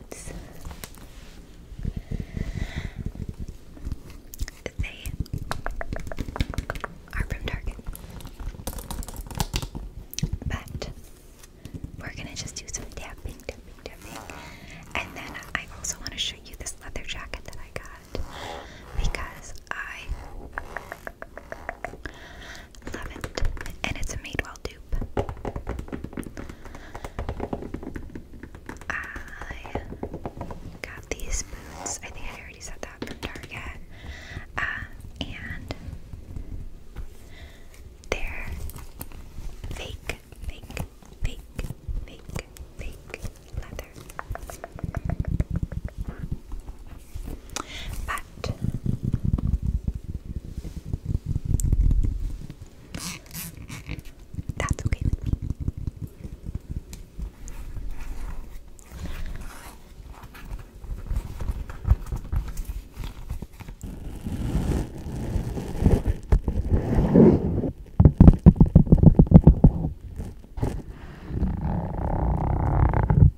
they are from Target. But we're gonna just do some tapping, tapping, tapping. And then I also want to show you this leather jacket that I got because I Love And it's a Madewell dupe. I got these boots. I think I already said that from Target. Uh, and they're fake, fake, fake, fake, fake leather. But that's okay with me.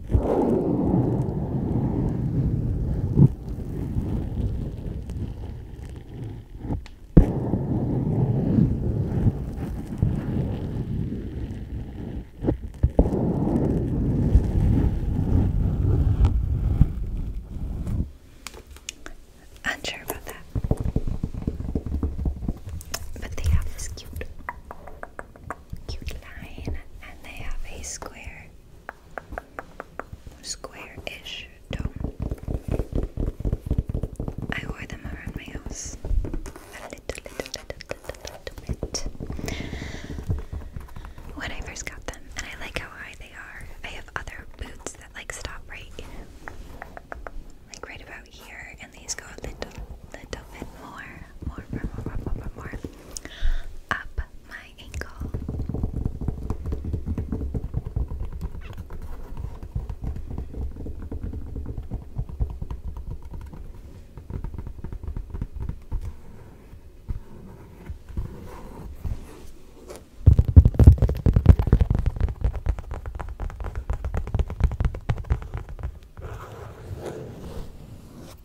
Unsure about that, but they have this cute, cute line, and they have a square square-ish dome. I wore them around my house when I first got them, and I like how high they are. I have other boots that like stop right, like right about here, and these go a little bit more more, more, more, more, more, more up my ankle.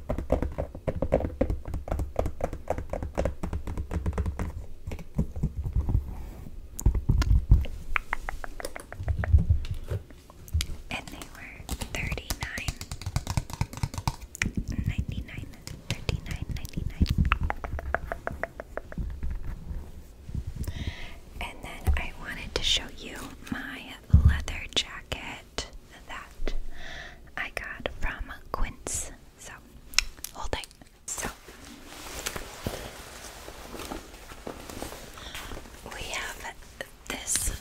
And they were thirty nine ninety nine, thirty nine ninety nine. And then I wanted to show you my leather jacket that I got from Quince. So hold tight. So we have this.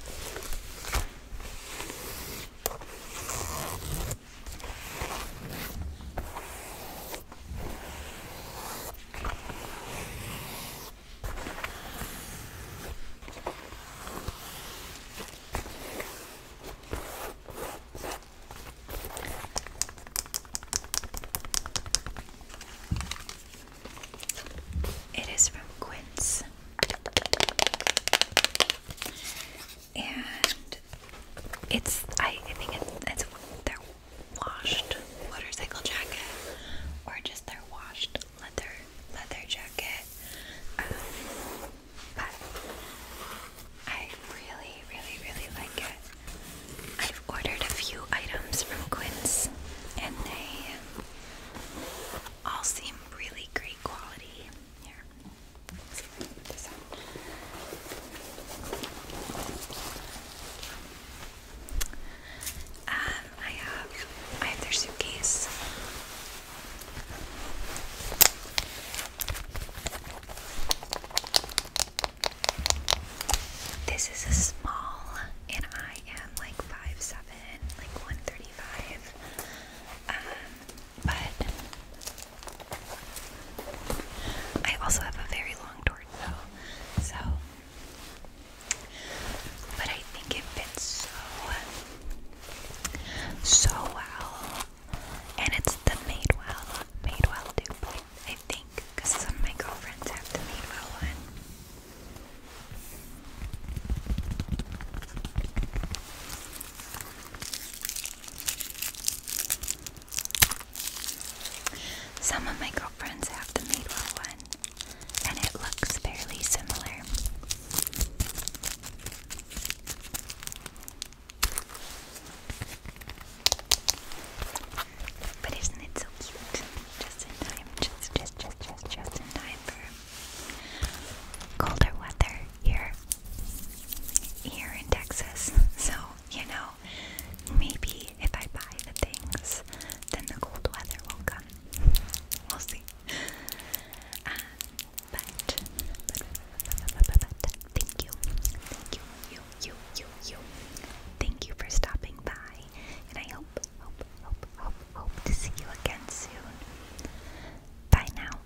It is from Quince, and it's I, think it's, it's their washed motorcycle jacket, or just they're washed leather leather jacket. Um, but I really, really, really like it. I've ordered a few items from Quince, and they all seem really great quality. Here, um, I have I have their suitcase. This is a small and I am like 5'7, like 135. Um, but I also have a very long torso. So but I think it fits so so well. And it's the Madewell Madewell dupe, I think, because some of my girlfriends have the Madewell one. Some of my girlfriends have the Madewell one and it looks fairly similar. But isn't it so cute? Just in time, just, just, just, just, just in time for colder weather here, here in Texas. So you know, maybe if I buy the things, then the cold weather will come. We'll see. Uh, but, thank you, thank you, you, you, you, you. Thank you for stopping by, and I hope, hope, hope, hope, hope to see you again soon. Bye now.